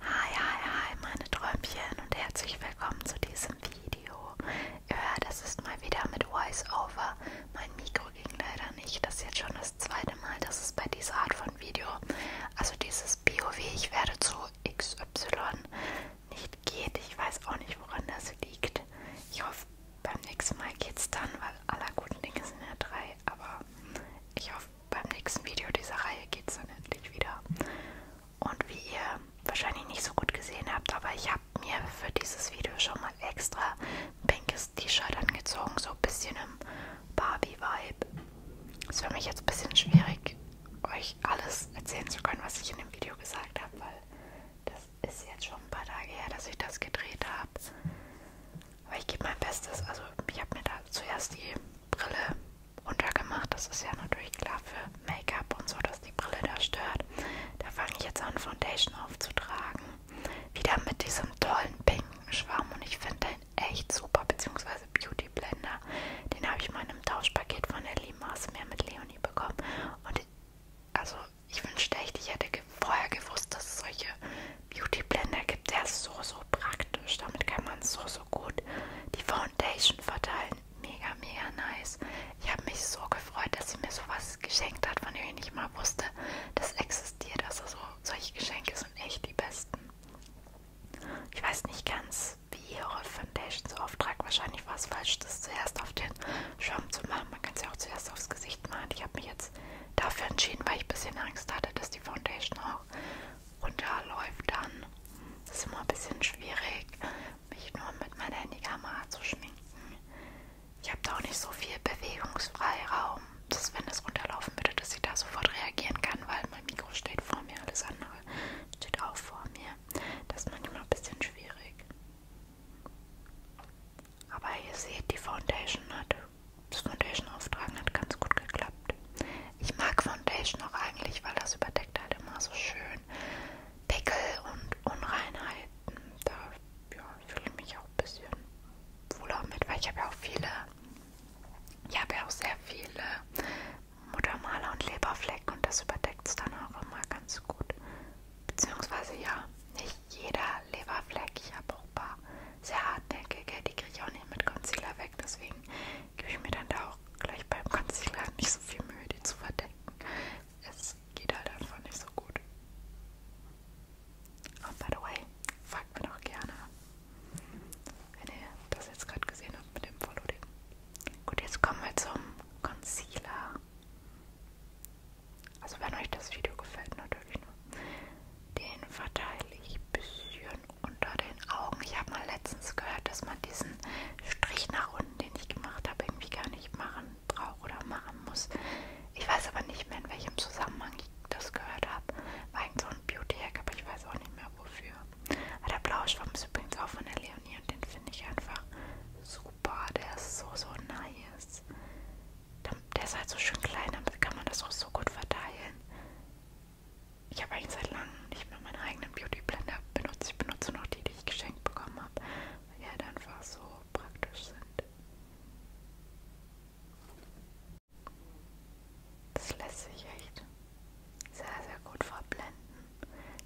Hi, hi, hi, meine Träumchen und herzlich willkommen zu diesem Video. Ihr hört, es ist mal wieder mit Voice-Over. Mein Mikro ging leider nicht. Das ist jetzt schon das zweite Mal, dass es bei dieser Art von Video, also dieses BOW, ich werde zu XY, nicht geht. Ich weiß auch nicht, woran das liegt. Ich hoffe, beim nächsten Mal geht's dann, weil aller guten Dinge sind ja drei, aber ich hoffe, beim nächsten Video dieser Reihe geht es dann endlich wieder. Und wie ihr wahrscheinlich nicht so gut gesehen habt, aber ich habe mir für dieses Video schon mal extra ein pinkes T-Shirt angezogen, so ein bisschen im Barbie-Vibe. Ist für mich jetzt ein bisschen schwierig, euch alles erzählen zu können, was ich in dem Video gesagt habe, weil das ist jetzt schon ein paar Tage her, dass ich das gedreht habe. Aber ich gebe mein Bestes. Also ich habe mir da zuerst die Brille runtergemacht. Das ist ja natürlich klar für Make-up und so, dass die Brille da stört. Da fange ich jetzt an, Foundation aufzutragen. Wieder mit diesem tollen pinken Schwamm und ich finde den echt super, beziehungsweise Beauty Blender. Den habe ich mal in einem Tauschpaket von der Limas mehr mit Leonie bekommen. Und also ich wünschte echt, ich hätte vorher gewusst, dass es solche Beauty Blender gibt. Der ist so, so praktisch. Damit kann man so, so so gut. Die Foundation verteilen, mega, mega nice. Ich habe mich so gefreut, dass sie mir sowas geschenkt hat, von dem ich nicht mal wusste, dass existiert. Also so, solche Geschenke sind echt die besten. Ich weiß nicht ganz, wie ihre Foundations Auftrag wahrscheinlich war es falsch, das zuerst auf den Schirm zu machen. Man kann es ja auch zuerst aufs Gesicht malen. Ich habe mich jetzt dafür entschieden, weil ich ein bisschen Angst hatte, dass die Foundation auch runterläuft, dann das ist immer ein bisschen schwierig, mich nur mit meiner Handykamera zu schminken. Ich habe da auch nicht so viel Bewegungsfreiraum, dass wenn das runterlaufen würde, dass ich da sofort reagieren kann, weil mein Mikro steht vor mir, alles andere steht auch vor mir. Das ist manchmal ein bisschen schwierig. Aber ihr seht, die Foundation hat, das Foundation-Auftragen hat ganz gut geklappt. Ich mag Foundation auch eigentlich, weil das überdeckt halt immer so schön Pickel und Unreinheiten. Da ja, fühle ich mich auch ein bisschen wohler mit, weil ich habe ja auch viele, ich habe ja auch sehr viele Muttermaler und Leberflecken und das überdeckt es dann auch immer ganz gut. Beziehungsweise ja, nicht jeder Leberfleck. Ich habe auch ein paar sehr hartnäckige, die kriege ich auch nicht mit Concealer weg, deswegen gebe ich mir dann da auch gleich beim Concealer nicht so viel Mühe, die zu verdecken. Es geht halt einfach nicht so gut. Und oh, by the way, fragt mir doch gerne, wenn ihr das jetzt gerade gesehen habt mit dem Following. Gut, jetzt kommen wir zum Concealer. Also wenn euch das Video gefällt, natürlich nur. Ne? Den verteile ich bisschen schön unter den Augen. Ich habe mal letztens gehört, dass man diesen Strich nach unten, den ich gemacht habe, irgendwie gar nicht machen braucht oder machen muss. Ich weiß aber nicht mehr, in welchem Zusammenhang ich das gehört habe. War irgend so ein Beauty-Hack, aber ich weiß auch nicht mehr wofür. Aber der Blauschwamm ist übrigens auch von der Leonie und den finde ich einfach super. Der ist so, so nice. Der ist halt so schön klein, damit kann man das auch so gut verteilen ich habe eigentlich seit langem nicht mehr meinen eigenen Beauty Blender benutzt. Ich benutze noch die, die ich geschenkt bekommen habe, weil die halt einfach so praktisch sind. Das lässt sich echt sehr, sehr gut verblenden.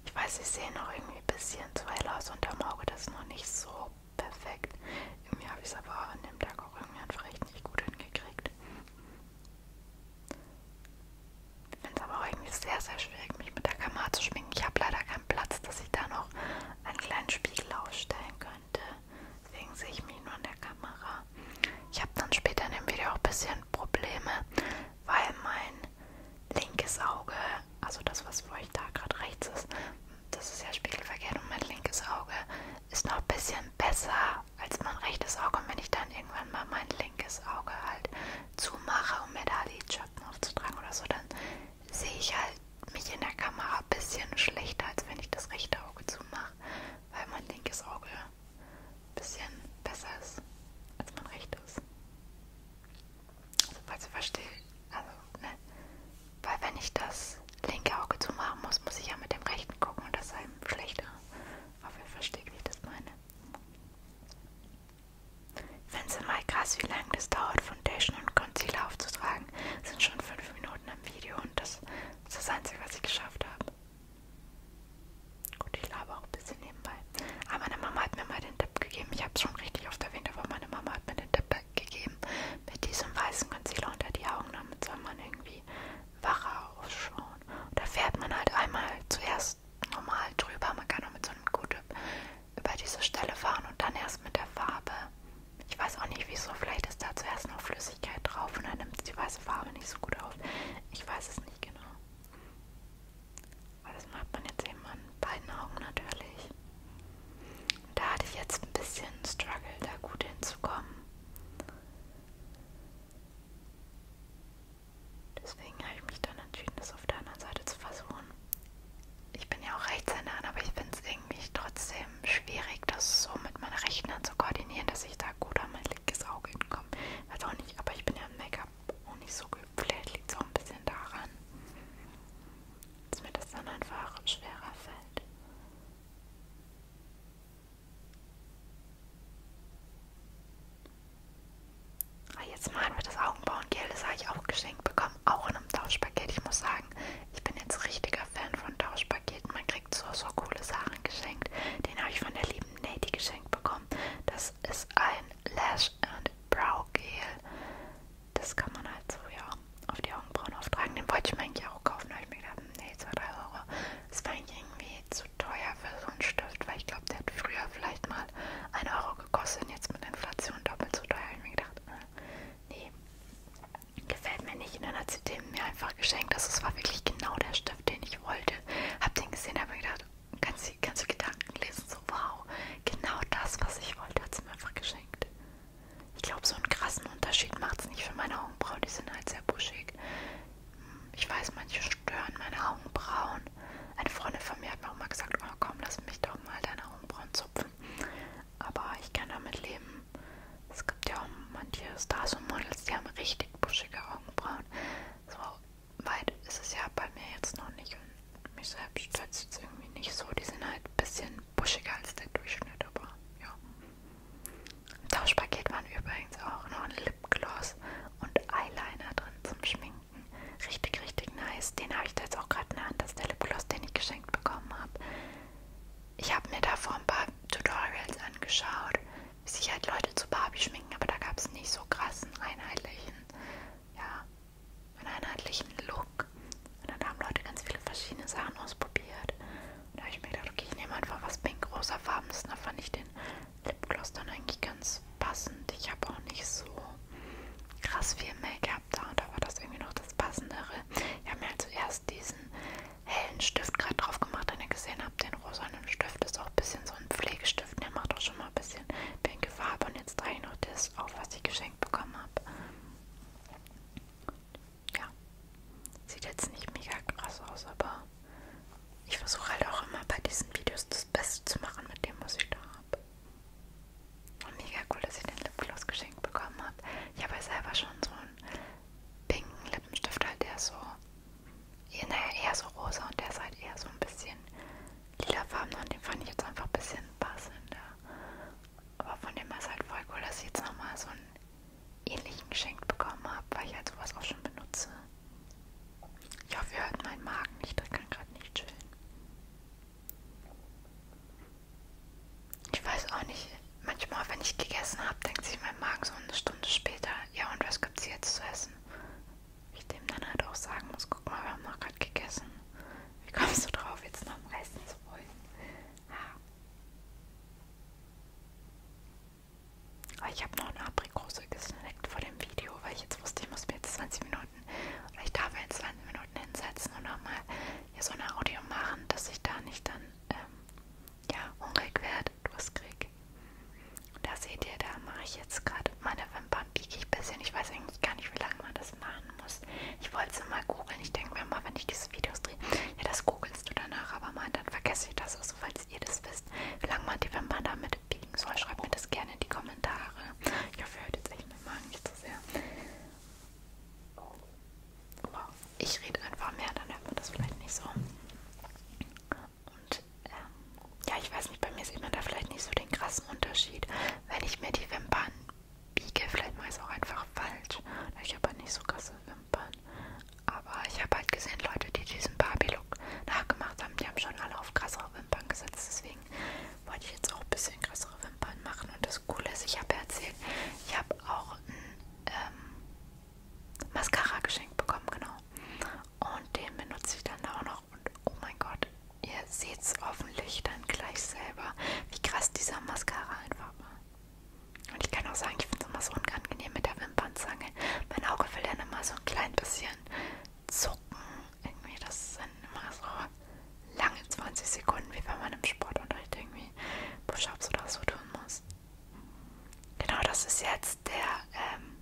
Ich weiß, ich sehe noch irgendwie ein bisschen zu hell aus unterm Auge, das ist noch nicht so perfekt. Irgendwie habe ich es aber an dem Tag auch irgendwie einfach echt nicht gut hingekriegt. Ich finde es aber auch irgendwie sehr, sehr schwierig, mich mit der Kamera zu schminken. Ich habe leider keinen Platz, dass ich da noch einen kleinen Spiegel aufstellen könnte. Deswegen sehe ich mich nur in der Kamera. Ich habe dann später in dem Video auch ein bisschen Probleme, weil mein linkes Auge, also das, was für euch da gerade rechts ist, das ist ja spiegelverkehrt und mein linkes Auge ist noch ein bisschen besser als mein rechtes Auge. Und wenn ich dann irgendwann mal mein linkes Auge halt zumache, um mir da die Schatten aufzutragen oder so, dann sehe ich halt mich in der Kamera ein bisschen schlechter, als wenn ich das rechte Auge zumache, weil mein linkes Auge ein bisschen besser ist als mein rechtes. Also, falls ihr versteht, also, ne? Weil wenn ich das linke Auge zumachen muss, muss ich ja mit dem rechten gucken und das ist einem schlechter. Aber ihr versteht, wie ich das meine. Ich finde es immer krass, wie lange das dauert, Foundation und Concealer aufzutragen. Das sind schon fünf Minuten im Video und das ist das Einzige, was ich geschafft habe. Gut, ich laber auch ein bisschen nebenbei. Aber ah, meine Mama hat mir mal den Tipp gegeben. Ich habe es schon richtig oft erwähnt, aber meine Mama hat mir den Tipp gegeben, mit diesem weißen Concealer unter die Augen. Damit soll man irgendwie wacher ausschauen. Und da fährt man halt einmal zuerst normal drüber. Man kann auch mit so einem Gut über diese Stelle fahren und dann erst mit der Farbe. Ich weiß auch nicht wieso. Vielleicht ist da zuerst noch Flüssigkeit drauf und dann nimmt die weiße Farbe nicht so gut auf. Ich weiß es nicht genau. Aber das macht man jetzt eben an beiden Augen natürlich. Und da hatte ich jetzt ein bisschen Struggle, da gut hinzukommen. Deswegen habe ich mich dann entschieden, das auf der anderen Seite zu versuchen. Ich bin ja auch Rechtshänderin, aber ich finde es irgendwie trotzdem schwierig, das so mit meiner rechten Hand zu koordinieren, dass ich da gut an mein linkes Auge hinkomme. Weiß auch nicht, aber ich bin ja im Make-up auch nicht so geübt. Vielleicht liegt es auch ein bisschen daran, dass mir das dann einfach schwerer fällt. Ah, jetzt malen wir das Augenbrauengel, das habe ich auch geschenkt bekommen, auch in einem Tauschpaket. Ich muss sagen, ich bin jetzt richtiger Fan von Tauschpaketen. Man kriegt so, so coole Sachen geschenkt. Den habe ich von der lieben Nati geschenkt bekommen. Das ist ein Lash and Brow Gel. Das kann man halt so, ja, auf die Augenbrauen auftragen. Den wollte ich mir eigentlich auch kaufen, da habe ich mir gedacht, nee, 2, 3 Euro. Es war irgendwie zu teuer für so einen Stift, weil ich glaube, der hat früher vielleicht mal 1 Euro gekostet und jetzt mit Inflation doppelt so teuer. Ich mir gedacht, äh, nee, gefällt mir nicht. Und dann hat sie den mir einfach geschenkt. Also es war wirklich genau der Stift, den ich wollte. Hab den gesehen, habe mir gedacht, kannst du, kannst du Gedanken lesen? So, wow, genau das, was ich wollte, hat sie mir einfach geschenkt. Ich glaube, so einen krassen Unterschied macht es nicht für meine Augenbrauen. Die sind halt sehr buschig. Ich weiß, manche stören meine Augenbrauen. Eine Freundin von mir hat mir auch mal gesagt, oh komm, lass mich doch mal deine Augenbrauen zupfen. Aber ich kann damit leben. Es gibt ja auch manche Stars und Models, die haben richtig buschige Augenbrauen. So weit ist es ja bei mir jetzt noch nicht. Und mich selbst stört es jetzt irgendwie nicht so. Die sind halt ein bisschen buschiger als der Durchschnitt, aber ja. Im Tauschpaket waren übrigens auch noch ein Lipgloss und Eyeliner drin zum Schminken. Richtig, richtig nice. Den habe ich da jetzt auch gerade in der Hand. Das ist der Lipgloss, den ich geschenkt bekommen habe. Ich habe mir davor ein paar Tutorials angeschaut, wie sich halt Leute zu Barbie schminken, aber da gab es nicht so krassen, einheitlichen, ja, einen einheitlichen Look. Und dann haben Leute ganz viele verschiedene Sachen ausprobiert. Und da habe ich mir gedacht, okay, ich nehme einfach was pink-rosa Farbenes. Da fand ich den Lipgloss dann eigentlich ganz passend. Ich habe auch nicht so krass viel Make-up da und da war das irgendwie noch das Passendere. Ich habe mir halt also zuerst diesen hellen Stift gerade drauf gemacht, den ihr gesehen habt. Den rosanen Stift ist auch ein bisschen so ein Pflegestift. Der macht auch schon mal ein bisschen pinke Farbe. Und jetzt trage ich noch das auf, was ich geschenkt bekommen habe. Ja, sieht jetzt nicht mega krass aus, aber ich versuche halt auch immer bei diesen Videos das Beste zu machen mit dem, was ich da habe. Mega cool, dass ich den Lipgloss geschenkt bekommen habe. Ich habe ja selber schon so einen pinken Lippenstift, halt der ist so, naja, eher so rosa und der ist halt eher so ein bisschen lilafarben und den fand ich jetzt einfach ein bisschen passender. Aber von dem war es halt voll cool, dass ich jetzt nochmal so einen ähnlichen geschenkt bekommen habe, weil ich halt sowas auch schon benutze. Ich hoffe, ihr hört meinen Magen nicht. Das kann gerade nicht chillen. Ich weiß auch nicht. Manchmal, wenn ich gegessen habe, denkt sich mein Magen so eine Stunde später, ja und was gibt's jetzt zu essen? Ich dem dann halt auch sagen muss, guck mal, wir haben noch gerade gegessen. Wie kommst du drauf, jetzt noch am Essen zu wollen? Ah. Ich habe noch eine Aprikose gesnackt vor dem Video, weil ich jetzt wusste, ich muss mir jetzt 20 Minuten oder ich darf mir jetzt 20 Minuten hinsetzen und nochmal hier so eine Audio machen, dass ich da nicht dann ähm, ja, hungrig werde, durstkrieg. Da seht ihr, da mache ich jetzt gerade meine Wimpern biege ich ein bisschen. Ich weiß eigentlich gar nicht, wie lange man das machen muss. Ich wollte es mal googeln. Ich denke mir mal, wenn ich diese Videos drehe, ja, das googelst du danach, aber mal, dann vergesse ich das, also falls ihr das wisst, wie lange man die Wimpern damit Seite halt biegen soll, schreibt mir das gerne in die Kommentare. Ich hoffe, ihr hört jetzt echt meinen Magen nicht so sehr. Wow. Ich rede einfach mehr, dann hört man das vielleicht nicht so. Und ähm, ja, ich weiß nicht, bei mir sieht man da vielleicht nicht so den krassen Unterschied. Wenn ich mir die Wimpern biege, vielleicht mache ich es auch einfach falsch. Ich habe halt nicht so krasse Wimpern. Aber ich habe halt gesehen, Leute, die diesen Barbie-Look Look nachgemacht haben. Die haben schon alle auf krassere Wimpern gesetzt, deswegen wollte ich jetzt auch ein bisschen krassere Wimpern machen. Und das Coole ist, ich habe erzählt, ich habe auch ein ähm, Mascara geschenkt bekommen, genau. Und den benutze ich dann auch noch. Und oh mein Gott, ihr seht es hoffentlich dann gleich selber, wie krass dieser Mascara einfach war. Und ich kann auch sagen, ich finde es immer so unangenehm mit der Wimpernzange. Mein Auge will dann immer so ein klein bisschen zucken. Irgendwie, das sind immer so lange 20 Sekunden, wie wenn man im Sportunterricht irgendwie Push-Ups oder so tun muss. Genau, das ist jetzt der, ähm,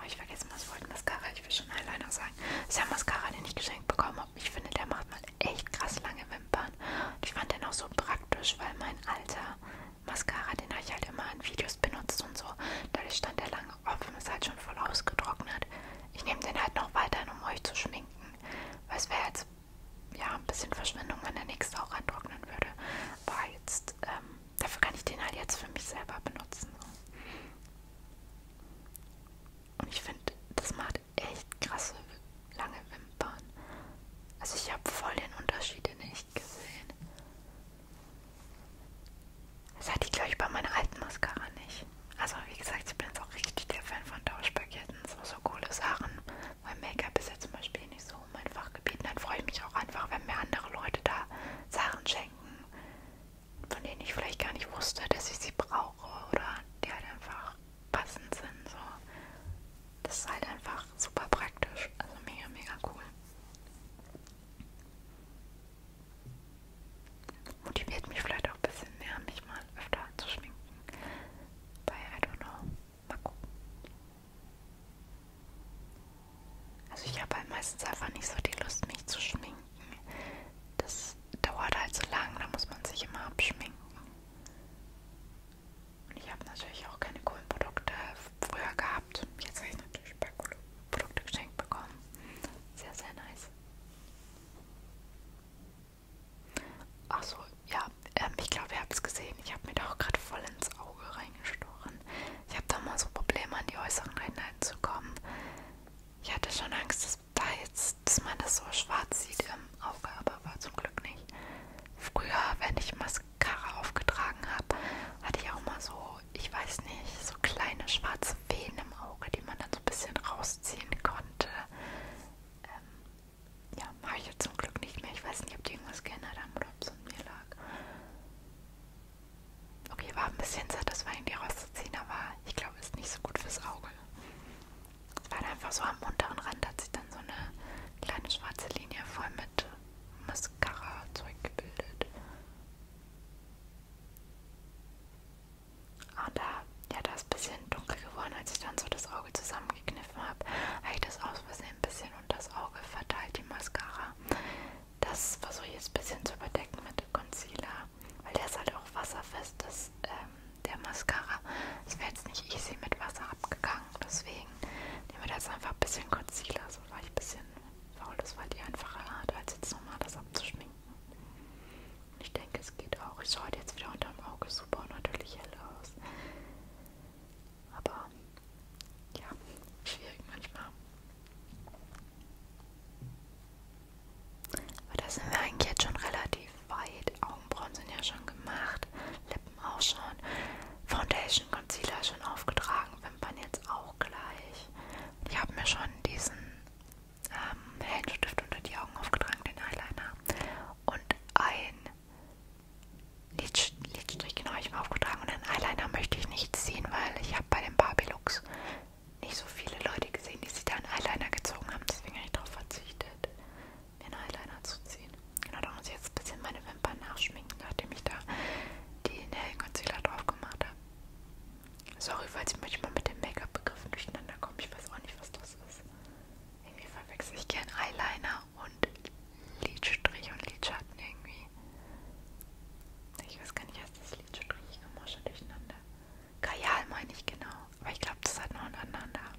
oh, ich vergesse mal, es wollte Mascara, ich will schon Eyeliner sagen. Das ist ja Mascara, den ich geschenkt bekommen habe. Ich finde, der macht mal echt krass lange Wimpern. Und ich fand den auch so praktisch, weil mein alter Mascara, den habe ich halt immer in Videos benutzt und so. Dadurch stand der lange offen, ist halt schon voll ausgetrocknet. Ich nehme den halt noch weiterhin, um euch zu schminken. Weil es wäre jetzt ja ein bisschen Verschwendung, wenn der nächste auch antrocknen würde. Aber jetzt, ähm, dafür kann ich den halt jetzt für mich selber benutzen. Und ich finde, das macht echt krasse lange Wimpern. Also ich habe voll den Unterschied nicht gesehen. Das hatte ich, glaube ich, bei meiner alten Mascara nicht. Also, wie gesagt, ich bin jetzt auch richtig der Fan von Tauschpaketen. So, so coole Sachen. Mein Make-up ist ja zum Beispiel nicht so mein Fachgebiet. Dann freue ich mich auch einfach, wenn mir andere Leute da Sachen schenken, von denen ich vielleicht gar nicht wusste, dass ich sie brauche oder die halt einfach passend sind. So. Das ist halt einfach super praktisch. Also mega, mega cool. Motiviert mich vielleicht auch ein bisschen mehr, mich mal öfter anzuschminken. Bei I don't know. Mal gucken. Also ich habe halt meistens einfach nicht so die Lust, mich zu schminken. Das dauert halt so lang, da muss man sich immer abschminken. Und ich habe natürlich auch keine coolen Produkte früher gehabt. Jetzt habe ich natürlich Produkte geschenkt bekommen. Sehr, sehr nice. Achso, ja, ähm, ich glaube, ihr habt es gesehen. Ich habe mir da auch gerade voll ins Auge reingestochen. Ich habe da mal so Probleme, an die äußeren Einheiten zu kommen. Ich hatte schon Angst, dass, da jetzt, dass man das so schwarz sieht im Auge, aber war zum Glück nicht. Früher, wenn ich Mascara aufgetragen habe, hatte ich auch mal so ich weiß nicht, so kleine schwarze Fäden im Auge, die man dann so ein bisschen rausziehen konnte. Ähm, ja, mache ich jetzt zum Glück nicht mehr. Ich weiß nicht, ob die irgendwas geändert haben oder ob es an mir lag. Okay, war ein bisschen satt, das war irgendwie rauszuziehen, aber ich glaube, ist nicht so gut fürs Auge. Es war einfach so am unteren Rand, hat sich dann so eine kleine schwarze Linie voll mit Mascara-Zeug gebildet. Und ah, da, ja, da ist ein bisschen dunkel geworden, als ich dann so das Auge zusammengekniffen habe, habe ich das aus Versehen ein bisschen unter das Auge verteilt, die Mascara. Das versuche ich jetzt ein bisschen zu überdecken mit dem Concealer, weil der ist halt auch wasserfest, das, ähm, der Mascara. Es wäre jetzt nicht easy mit Wasser abgegangen, deswegen nehmen wir da jetzt einfach ein bisschen Concealer, so leicht ein bisschen Faul, das war die einfache Art, als jetzt nochmal das abzuschminken. Ich denke, es geht auch. Ich schaue jetzt wieder unterm Auge super und natürlich hell aus. Aber ja, schwierig manchmal. Aber da sind wir eigentlich jetzt schon relativ weit. Augenbrauen sind ja schon gemacht, Lippen auch schon, Foundation, Concealer schon aufgetragen, Wimpern jetzt auch gleich nicht. Ich habe mir schon diesen ähm, hellen Stift unter die Augen aufgetragen, den Eyeliner. Und ein Lidstrich, Lidstrich genau, ich mir aufgetragen. Und den Eyeliner möchte ich nicht ziehen, weil ich habe bei dem Barbie Looks nicht so viele Leute gesehen, die sich da einen Eyeliner gezogen haben. Deswegen habe ich darauf verzichtet, mir einen Eyeliner zu ziehen. Genau, da muss ich jetzt ein bisschen meine Wimpern nachschminken, nachdem ich da den hellen Concealer drauf gemacht habe. Sorry, falls ich manchmal mit den Make-up-Begriffen durcheinander komme. Ich weiß auch nicht, was das ist. Irgendwie verwechsel ich gern Eyeliner und Lidstrich und Lidschatten irgendwie. Ich weiß gar nicht, was das Lidstrich Ich komme schon durcheinander. Kajal meine ich genau. Aber ich glaube, das hat noch einen anderen Namen.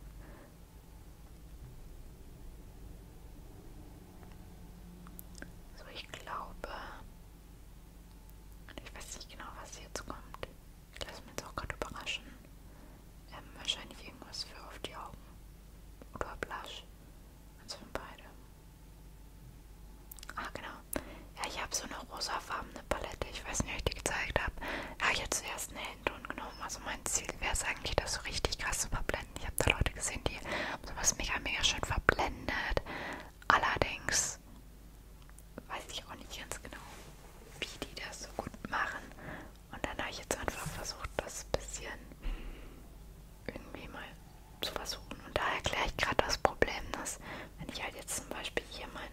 So, ich glaube, ich weiß nicht genau, was jetzt kommt. Ich lasse mich jetzt auch gerade überraschen. Ähm, wahrscheinlich irgendwas für auf die Augen. Oder Blush. Also von beide. Ah, genau. Ja, ich habe so eine rosafarbene Palette. Ich weiß nicht, ob ich die gezeigt habe. Ja, ich habe zuerst einen hellen Ton genommen. Also mein Ziel wäre es eigentlich, das so richtig krass zu verblenden. Ich habe da Leute gesehen, die haben sowas mega, mega schön verblendet. Allerdings weiß ich auch nicht ganz genau, wie die das so gut machen. Und dann habe ich jetzt einfach versucht, das ein bisschen irgendwie mal zu versuchen. Und da erkläre ich gerade das Problem, dass wenn ich halt jetzt zum Beispiel hier mein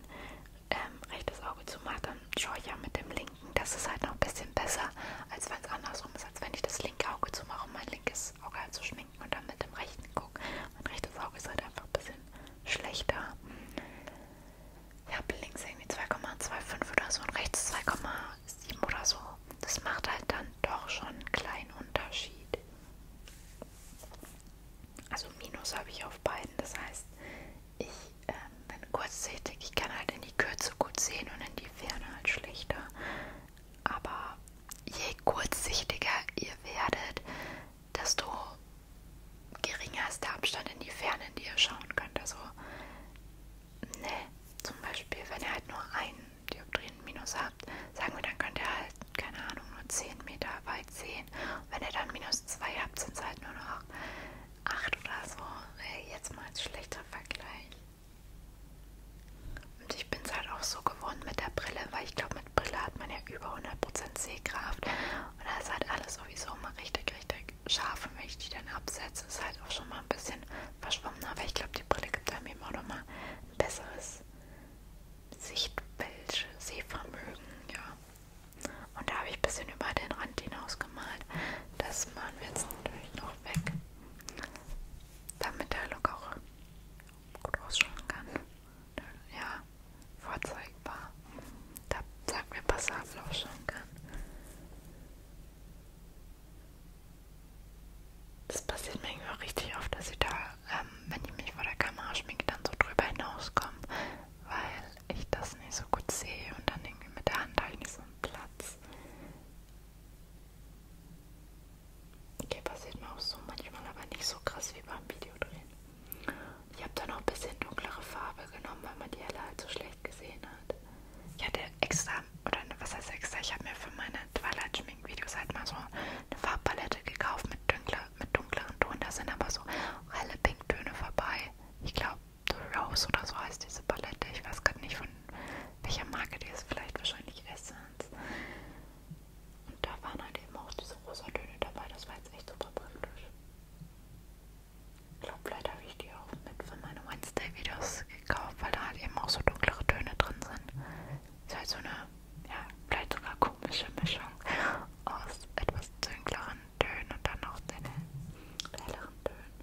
ähm, rechtes Auge zumache, dann schaue ich ja mit dem linken. Das ist halt noch ein bisschen besser, als wenn es andersrum ist, als wenn ich das linke Auge zumache und mein linkes Auge halt so schminke linken oder mit dem rechten gucke. Mein rechtes Auge ist halt einfach ein bisschen schlechter. Ich habe links irgendwie 2,25 oder so und rechts 2,7 oder so. Das macht halt dann doch schon einen kleinen Unterschied. Also Minus habe ich auf beiden. Das heißt, ich ähm, bin kurzsichtig. Ich kann halt in die Kürze gut sehen und in die Ferne halt schlechter. Aber je kurzsichtiger ihr werdet, desto geringer ist der Abstand in die Ferne, in die ihr schauen könnt. Also, ne, zum Beispiel, wenn ihr halt nur einen Dioptrien-Minus habt, sagen wir, dann könnt ihr halt, keine Ahnung, nur 10 Meter weit sehen. Und wenn ihr dann minus 2 habt, sind es halt nur noch 8 oder so. Jetzt mal als schlechter Vergleich. Und ich bin es halt auch so gewohnt mit der Brille, weil ich glaube, mit Brille hat man ja über 100% Sehkraft. Und da ist halt alles sowieso immer richtig, richtig scharf. Und wenn ich die dann absetze, ist halt auch schon mal ein bisschen verschwommen. Aber ich glaube, die Brille gibt einem eben auch nochmal ein besseres Sichtbild, Sehvermögen, ja. Und da habe ich ein bisschen über den Rand hinaus gemalt. Das machen wir jetzt natürlich noch weg, damit der Look auch gut ausschauen kann ja, vorzeigbar. Da sagt mir passabel auch schon kann. Das passiert mir irgendwie auch richtig oft, dass ich da, ähm, wenn ich mich vor der Kamera schminke, dann so drüber hinauskomme, weil ich das nicht so gut sehe und dann irgendwie mit der Hand habe ich nicht so einen Platz. Okay, passiert mir auch so manchmal, aber nicht so krass wie beim Videodrehen. Ich habe dann noch ein bisschen dunklere Farbe genommen, weil man die helle halt so schlecht gesehen hat. Ich hatte extra, oder ne, was heißt extra, ich habe mir für meine Twilight-Schmink-Videos halt mal so eine Farbpalette gekauft mit, dunkler, mit dunkleren Ton. Da sind aber so helle Pinktöne vorbei. Ich glaube, The Rose oder so heißt diese Palette. Ich weiß gerade nicht, von welcher Marke die ist. Vielleicht wahrscheinlich Essence. Und da waren halt eben auch diese rosa Töne dabei. Das war jetzt echt super praktisch. Ich glaube, vielleicht habe ich die auch mit von meinen Wednesday-Videos gekauft, weil da halt eben auch so dunklere Töne drin sind. Ist halt so eine, ja, vielleicht sogar komische Mischung aus etwas dunkleren Tönen und dann auch den helleren Tönen.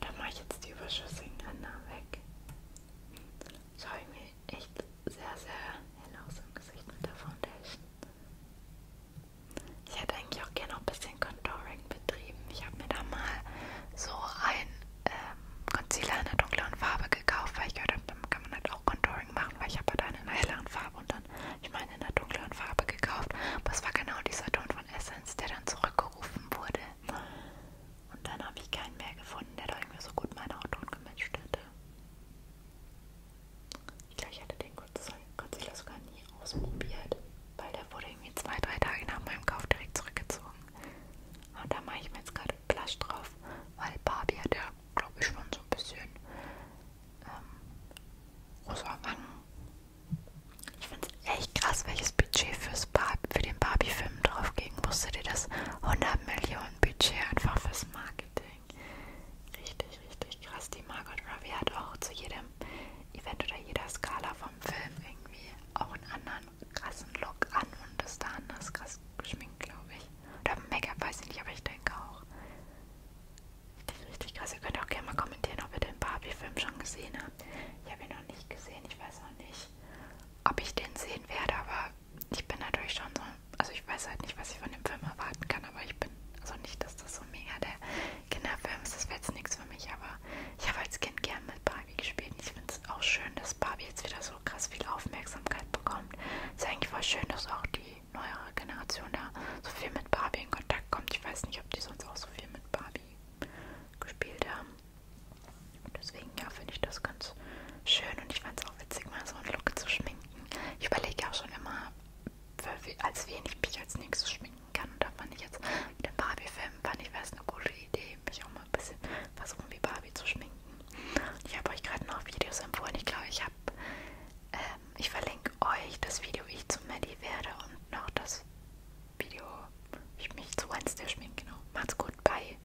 Da mache ich jetzt die überschüssigen Ränder weg. So irgendwie echt sehr, sehr hell aus im Gesicht mit der Foundation. Ich hätte eigentlich auch gerne noch ein bisschen Contouring betrieben. Ich habe mir da mal so ein ähm, Concealer in einer dunkleren Farbe gekauft, weil ich gehört habe, damit kann man halt auch Contouring machen, weil ich habe halt einen in einer helleren Farbe und dann, ich meine, in einer dunkleren Farbe gekauft. Aber es war genau dieser Ton von Essence, der dann zurückgerufen wurde. Und dann habe ich keinen mehr gefunden, der da irgendwie so gut meinen Hautton gematcht hätte. Ich glaube, ich hatte den Godzilla sogar nie ausprobiert, weil der wurde irgendwie zwei, drei Tage nach meinem Kauf direkt zurückgezogen. Und da mache ich mir jetzt gerade Blush drauf, weil Barbie hat ja, glaube ich, schon so ein bisschen ähm, rosa Wangen. Ich finde es echt krass, welches Budget fürs Barbie, für den Barbie-Film draufging. Wusstet ihr das? 100 Millionen ein Budget einfach fürs Marketing. Richtig, richtig krass. Die Margot Robbie hat auch zu jedem Event oder jeder Skala vom Film irgendwie auch einen anderen krassen Look an und ist da anders krass geschminkt, glaube ich. Oder Make-up weiß ich nicht, aber ich denke auch. Richtig, richtig krass. Ihr könnt auch gerne mal kommentieren, ob ihr den Barbie-Film schon gesehen habt. Ich habe ihn noch nicht gesehen, ich weiß noch nicht, ob ich den sehen werde, aber ich bin natürlich schon so, also ich weiß halt nicht, was ich von dem Film erwarten kann, aber ich bin, also nicht, dass das so mega der Kinderfilm ist, das wäre jetzt nichts für mich, aber ich habe als Kind gern mit Barbie gespielt. Ich finde es auch schön, dass Barbie jetzt wieder so krass viel Aufmerksamkeit bekommt. Es ist eigentlich voll schön, dass auch die neuere Generation da so viel mit Barbie in Kontakt kommt. Ich weiß nicht, ob die sonst auch so viel mit Barbie gespielt haben. Deswegen ja, finde ich das ganz schön und ich fand es auch witzig, mal so einen Look zu schminken. Ich überlege auch schon immer, für, als wen ich mich als nächstes schminken kann. Und da fand ich jetzt mit dem Barbie-Film, fand ich, wäre es eine gute Idee, mich auch mal ein bisschen versuchen, wie Barbie zu schminken. Ich habe euch gerade noch Videos empfohlen. Ich glaube, ich habe, ähm, ich verlinke euch das Video, wie ich zu Maddie werde und noch das Video, wie ich mich zu Wednesday schminke. Genau. Macht's gut, bye.